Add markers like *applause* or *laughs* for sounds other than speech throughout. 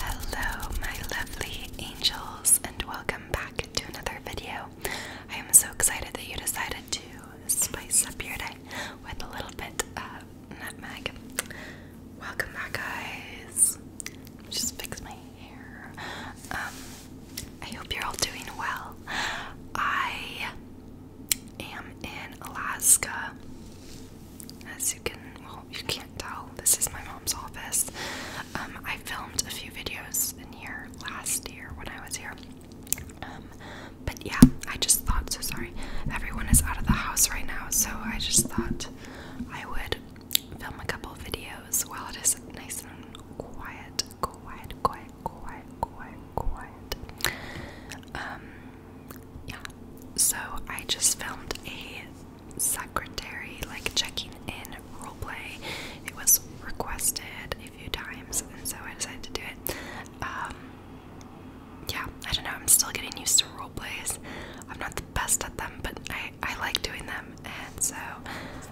Hello, my lovely angels, and welcome back to another video. I am so excited that you decided to spice up your day with a little bit of nutmeg. Welcome back, guys. Just fix my hair. Um, I hope you're all doing well. I am in Alaska. As you can, well, you can't tell, this is my mom's office. Um, I filmed a few videos in here last year when I was here. Um, but yeah, I just thought, so sorry, everyone is out of the house right now, so I just thought I would film a couple videos while it is nice and quiet, quiet, quiet quiet, quiet, quiet, um, yeah. So I just filmed a secretary like checking in role play. It was requested a few times, and so I decided to do it. Um, yeah, I don't know. I'm still getting used to role plays. I'm not the best at them, but I I like doing them, and so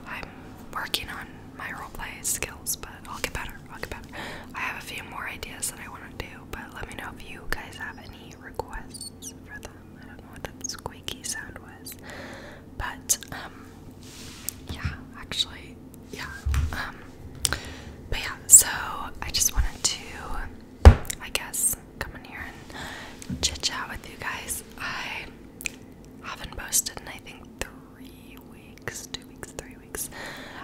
I'm working on my roleplay skills, but I'll get better. I'll get better. I have a few more ideas that I want to do, but let me know if you guys have any requests for them. I don't know what that squeaky sound was, but um, yeah, actually, yeah, um, but yeah. So I just wanted to, I guess, come in here and chit chat with you guys. I haven't posted in I think three weeks, two weeks, three weeks.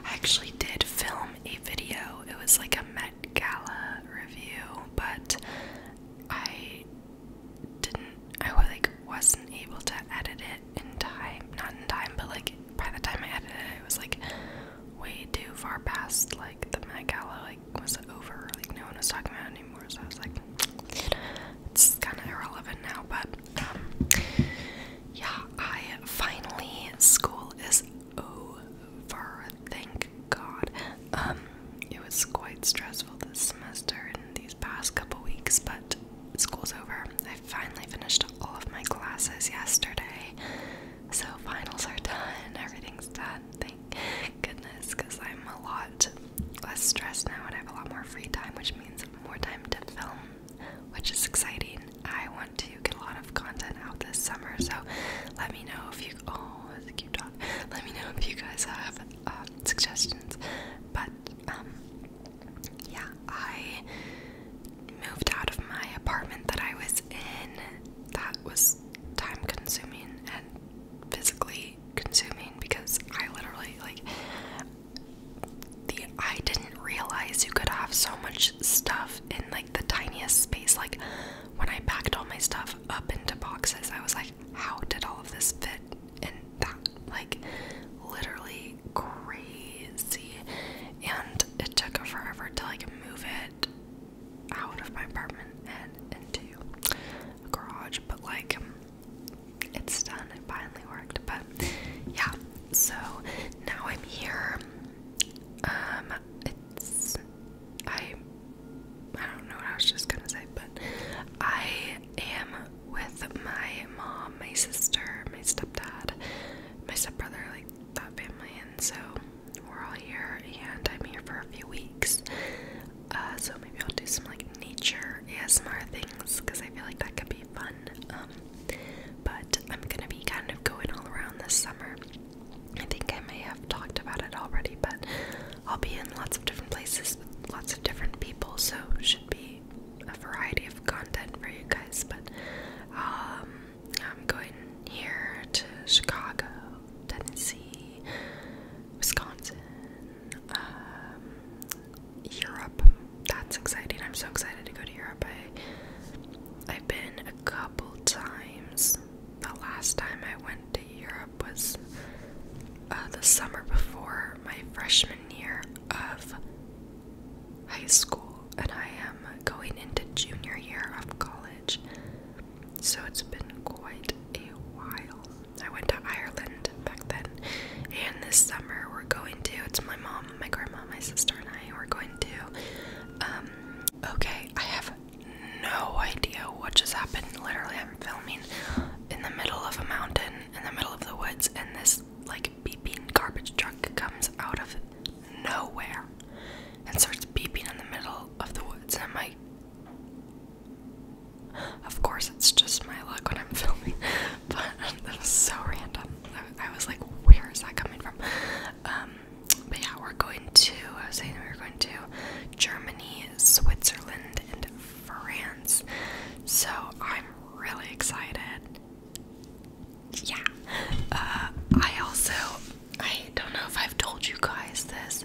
I actually did film a video. It was like a Met Gala review, but I didn't. I was like wasn't able to edit it in time. Not in time, but like by the time I edited it, it was like way too far past like the Met Gala like was over. Like no one was talking about it anymore. So I was like. It's kind of irrelevant now, but um, yeah, I finally school is over. Thank God. Um, it was quite stressful this semester and these past couple weeks, but school's over. I finally finished all of my classes yesterday, so finals are done. Everything's done. Thank goodness, because I'm a lot less stress now and I have a lot more free time, which means more time to film, which is exciting. I want to get a lot of content out this summer, so let me know if you. Oh, that's a Let me know if you guys have um, suggestions. But um, yeah, I moved out of my apartment that I was in. That was time consuming and physically consuming because I literally like the I didn't realize you could have so much stuff in like the tiniest space. Like when I packed all my stuff up into boxes, I was like, how did all of this fit And that? Like literally crazy. And it took forever to like move it out of my apartment and into a garage, but like it's done. It finally worked. But yeah, so now I'm here. Um, it's I. I don't know what I was just gonna say, but I am with my mom, my sister, my stepdad, my stepbrother, like that family, and so we're all here, and I'm here for a few weeks. Uh, so maybe I'll do some like nature ASMR things because I feel like that could be fun. Um, but I'm gonna be kind of going all around this summer. I think I may have talked about it already, but I'll be in lots of different places with lots of different people, so should be a variety of content for you guys. But um, I'm going here to Chicago, Tennessee, Wisconsin, um, Europe. That's exciting. I'm so excited to go to Europe. I, have been a couple times. The last time I went to Europe was uh, the summer before my freshman year of high school, and I am going into junior year of college. So it's been quite a while. I went to Ireland back then. And this summer we're going to, it's my mom, my grandma, my sister, and I, we're going to, um, okay, I have no idea what just happened. Literally, I'm filming in the middle of a mountain, in the middle of the woods, and this, like, beeping garbage truck comes out of nowhere and starts beeping in the middle of the woods. And I'm like, of course, it's just my luck when I'm *laughs* filming, but um, that was so random. I, was like, where is that coming from? Um, but yeah, we're going to, I was saying we are going to Germany, Switzerland, and France. So I'm really excited. Yeah. Uh, I also, I don't know if I've told you guys this,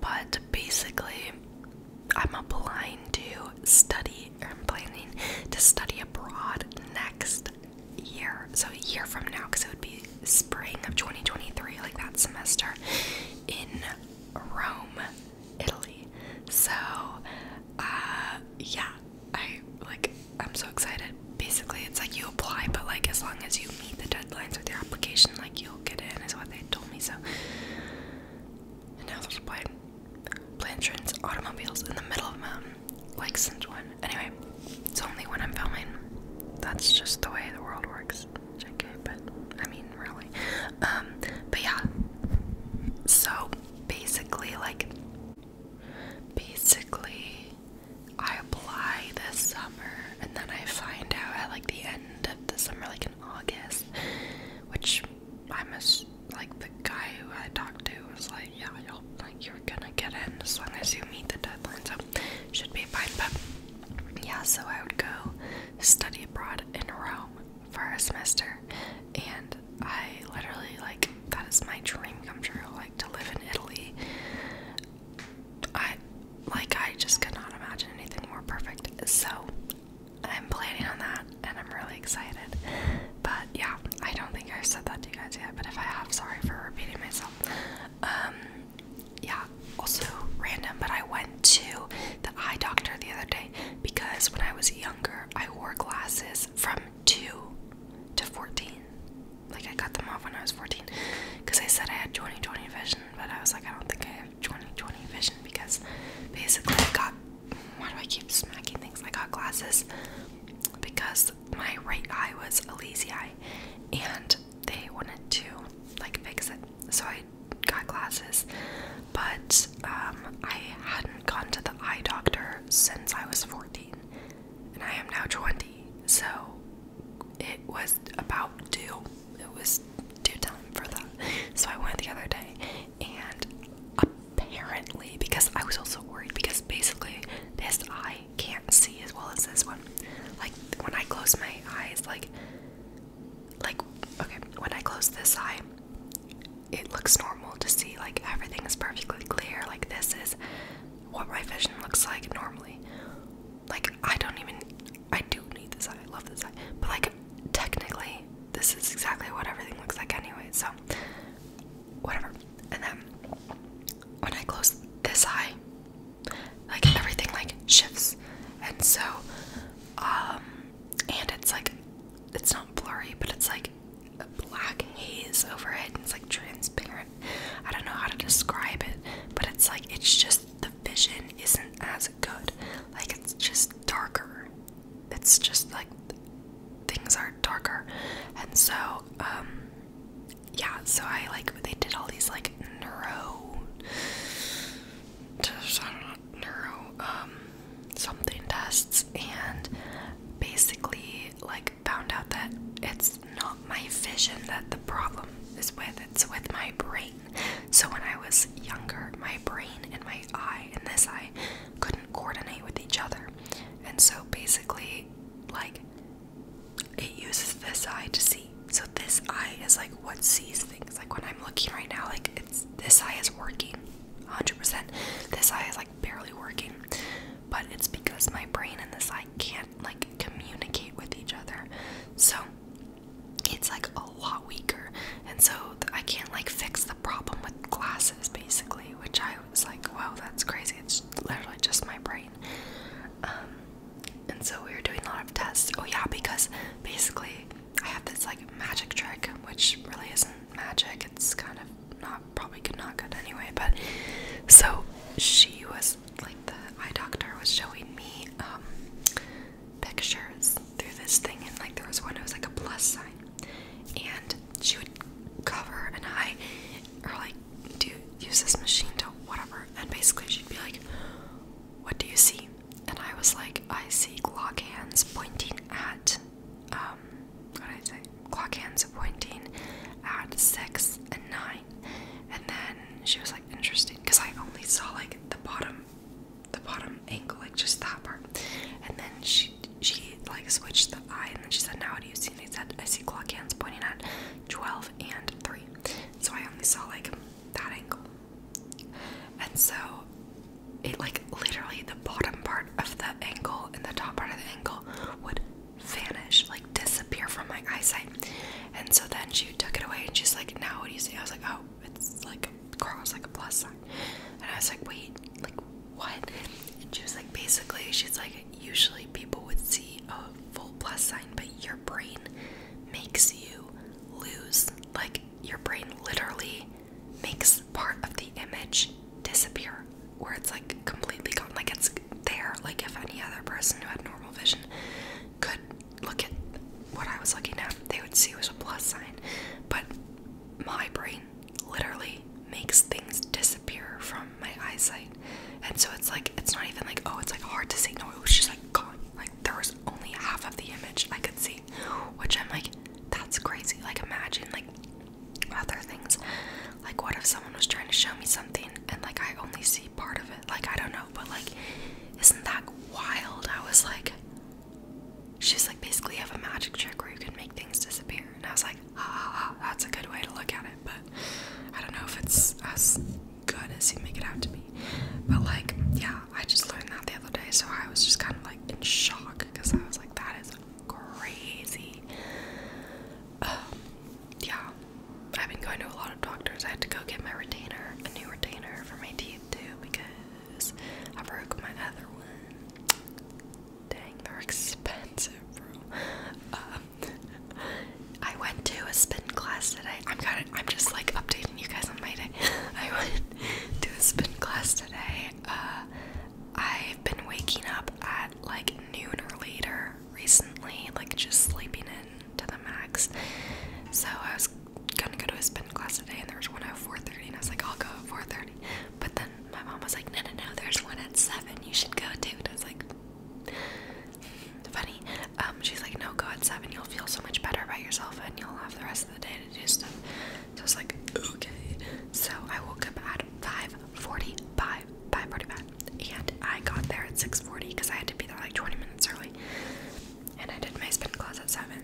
but basically, I'm applying to study I'm planning to study abroad next year. So a year from now, because it would be spring of 2023, like that semester in Rome, Italy. So uh yeah, I like I'm so excited. Basically it's like you apply but like as long as you meet the deadlines with your application, like you get in, is what they told me. So, and now there's blind, blind trains, automobiles in the middle of a mountain, like since one. Anyway, it's only when I'm filming. That's just the way the world works. JK, but I mean, really. Um, but yeah. So basically, like, basically, I apply this summer, and then I find out at like the end end of the summer, like in August, which I'm like the guy who I talked to was like, yeah, you'll, like you're gonna get in as long as you meet the deadlines, so should be fine. But yeah, so I would go study abroad in Rome for a semester, and I literally like that is my dream come true, like to live in Italy. I like I just could not imagine anything more perfect. So I'm planning on that and I'm really excited. But yeah, I don't think I've said that to you guys yet, but if I have, sorry for repeating myself. Um yeah, also random, but I went to the eye doctor the other day because when I was younger I wore glasses from two to fourteen. Like I got them off when I was fourteen because I said I had 20/20 vision but I was like, I don't think I have 20/20 vision because basically I got. Why do I keep smacking things? I got glasses because my right eye was a lazy eye, and they wanted to like fix it, so I got glasses. But um, I hadn't gone to the eye doctor since I was 14, and I am now 20. So it was about due. It was due time for that. So I went the other day and apparently because I was also worried because basically this eye can't see as well as this one. Like when I close my eyes like like okay, when I close this eye it looks normal to see like everything is perfectly clear like this is what my vision looks like normally. Like I don't even I do need this eye, I love this eye. But like technically this is exactly what everything looks like anyway, so whatever. And then when I close this eye, like everything like shifts. And so um and it's like it's not blurry, but it's like a black haze over it and it's like trans I don't know how to describe it, but it's like it's just the vision isn't as good. Like it's just darker. It's just like things are darker. And so, um, yeah, so I like they did all these like neuro, I don't know, neuro, um, something tests and basically like found out that it's not my vision that the problem is with, it's with my brain. So when I was younger, my brain and my eye and this eye couldn't coordinate with each other. And so basically, like, it uses this eye to see. So this eye is like what sees things. Like when I'm looking right now, like it's this eye is working 100%. This eye is like barely working. But it's because my brain and this eye can not like communicate with each other. So it's like a lot weaker. And so I can't like fix the problem with glasses basically, which I was like, wow, that's crazy. It's literally just my brain. Um, and so we were doing a lot of tests. Oh, yeah, because basically I have this like magic trick, which really isn't magic. It's kind of not probably good, not good anyway. But so she was was like the eye doctor was showing me um pictures through this thing and like there was one it was like a plus sign and she would cover an eye or like do use this machine to whatever and basically she'd be like what do you see and i was like i see clock hands pointing at um what did i say clock hands Pointing at six and nine. And then she was like, interesting, because I only saw like the bottom, the bottom angle, like just that part. And then she she like switched the eye, and then she said, now what do you see? And I said, I see clock hands pointing at twelve and three. So I only saw like that angle. And so it like literally the bottom part of the angle and the top part of the angle would vanish, like disappear from my eyesight. And so then she took it away and she's like, Now what do you see? I was like, Oh, it's like a cross, like a plus sign. And I was like, Wait, like what? And she was like, Basically, she's like, Usually people would see a full plus sign, but your brain makes you lose. Like, your brain literally makes part of the image disappear where it's like completely gone, like it's there, like if any other person who had normal vision could look at what I was looking at, they would see it was a plus sign. But my brain literally makes things disappear from my eyesight. And so it's like it's not even like, oh, it's like hard to see. No, it was just like gone. Like there was only half of the image I could see. Which I'm like, that's crazy. Like imagine like other things like, what if someone was trying to show me something and like I only see part of it? Like, I don't know, but like, isn't that wild? I was like, she's like, basically, you have a magic trick where you can make things disappear. And I was like, ah, that's a good way to look at it, but I don't know if it's as good as you make it out to be. But like, yeah, I just learned that the other day, so I was just kind of like in shock because I was like, that is crazy. Um, yeah, I've been going to a lot of doctors. I had to go get my retainer, a new retainer for my teeth too, because I broke my other one. Dang, they're *laughs* expensive, bro. Um, I went to a spin class today. I'm kind of, I'm just like updating you guys on my day. *laughs* I went to a spin class today. Uh, I've been waking up at like noon or later recently, like just sleeping in to the max. So I was gonna go to a spin class today, and there was one at 4:30, and I was like, I'll go at 4:30. But then my mom was like, No, no, no, there's one at seven. You should go too. I was like, mm, Funny. Um, she's like, No, go at seven. You'll feel so much better about yourself, and you'll have the rest of the day to do stuff. So I was like, Okay. So I woke up at five 5:45, 5:45, and I got there at 6:40 because I had to be there like 20 minutes early. And I did my spin class at seven,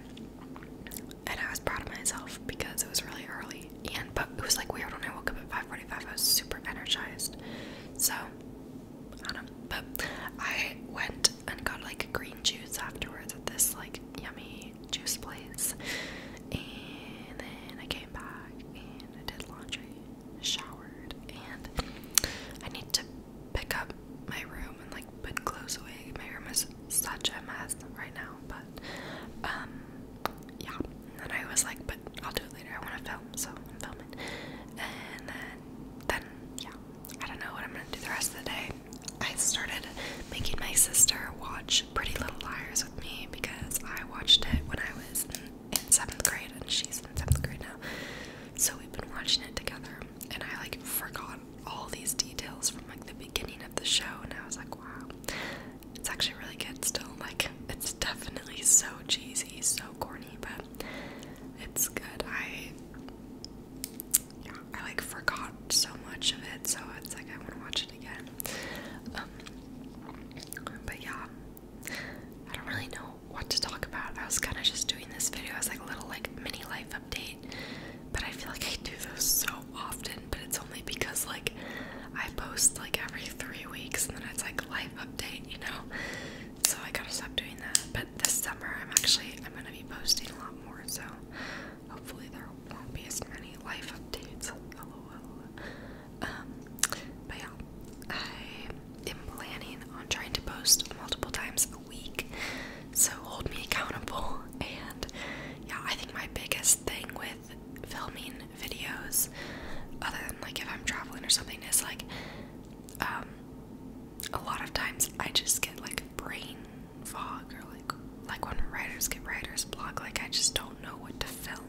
and I was proud of myself because it was really early. And but it was like weird when I woke up at 5:45. I was super energized, so I don't know. But I went and got like green juice afterwards at this like yummy juice place, and then I came back and I did laundry, showered, and I need to pick up my room and like put clothes away. My room is such a mess right now, but um yeah. And I was like, but I'll do it later. I wanna film, so I'm filming. And then then yeah. I don't know what I'm gonna do the rest of the day. I started making my sister watch Pretty Little Liars with me because I watched it when I was in seventh grade and she's in seventh grade now. So we've been watching it together and I like forgot all these details from like the beginning of the show and I was like, wow. It's actually really good still. Like it's definitely so cheesy, so corny, but it's good. I yeah, I like forgot so much of it, so it's like I want to watch it again. Um, but yeah, I don't really know what to talk about. I was kind of just doing this video as like a little like mini life update, but I feel like I do those so often. But it's only because like I post like every three weeks and then it's like life update, you know. So I gotta stop doing that. But this summer I'm actually I'm gonna be posting a lot more. So hopefully there won't be as many life updates. LOL. Um, but yeah, I am planning on trying to post multiple times a week, so hold me accountable. And yeah, I think my biggest thing with filming videos, other than like if I'm traveling or something, is like, um, a lot of times I just get like brain fog or like like when writers get writer's block, like I just don't know what to film,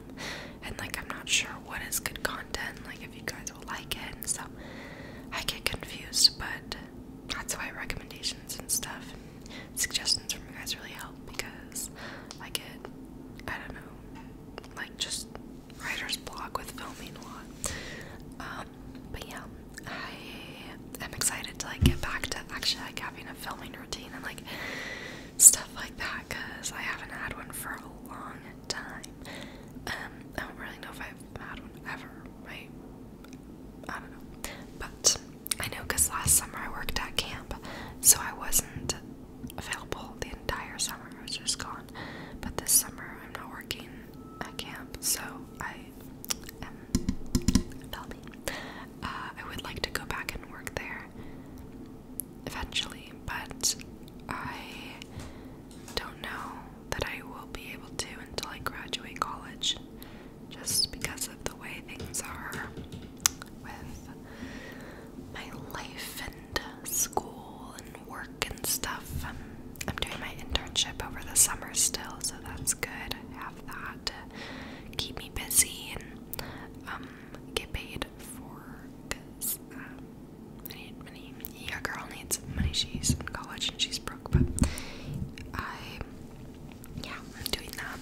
and like I'm not sure what is good content, like if you guys will like it, and so I get confused. But that's why recommendations and stuff, suggestions from you guys really help because I get, I don't know, like just writer's block with filming a lot. Um, but yeah, I am excited to like get back to actually like having a filming routine and like stuff like that because I haven't had one for a long time. Um, I don't really know if I've had one ever, right? I don't know. But I know because last summer I worked at camp, so I wasn't available the entire summer. I was just gone. But this summer I'm not working at camp, so I am um, Uh I would like to go back and work there eventually, but I don't know that I will be able to until I graduate college just because of the way things are with my life and school and work and stuff. I'm doing my internship over the summer still, so that's good. I have that to keep me busy um, get paid for because um, I need money. Yeah, girl needs money. She's in college and she's broke, but I, yeah, I'm doing that,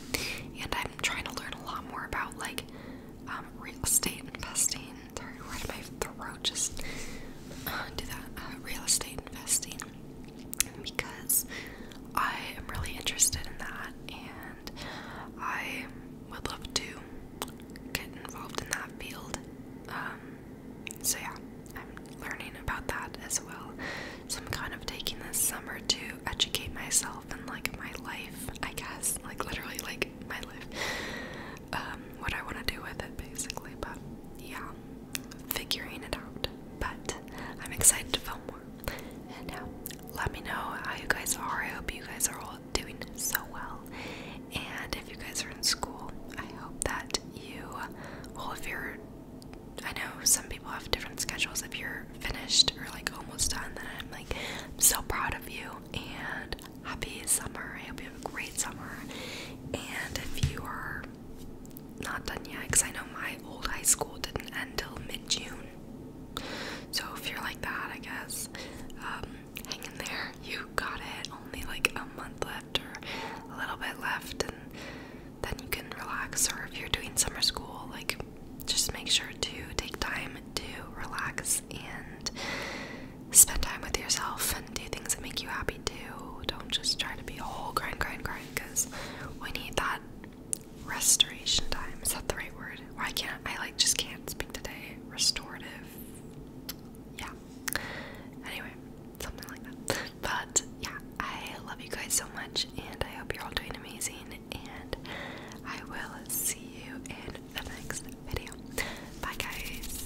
and I'm trying to learn a lot more about like um, real estate investing. Sorry, right in my throat. Just uh, do that. Uh, real estate investing because I am really interested in that, and I would love to get involved in that field. Um, so, yeah, I'm learning about that as well. So, I'm kind of taking this summer to educate myself and like my life, I guess, like literally, like my life, um, what I want to do with it basically. But yeah, figuring it out. But I'm excited to film and now, uh, let me know how you guys are. I hope you guys are all doing so well. And if you guys are in school, I hope that you, well, if you're, I know some people have different schedules. If you're finished or like almost done, then I'm like so proud of you and happy summer. I hope you have a great summer. And if you are not done yet because I know my old high school didn't end till mid June. So if you're like that, I guess, um, hang in there. You got it. Only like a month left or a little bit left, and then you can relax. Or if you're doing summer school, like just make sure to take time to relax and spend time with yourself and do things that make you happy too. Don't just try to be a whole grind, grind, grind because we need that restoration time. Is that the right word? Or I can't, I like just can't speak today. Restorative. Yeah. Anyway, something like that. But yeah, I love you guys so much and I hope you're all doing amazing. And I will see you in the next video. Bye, guys.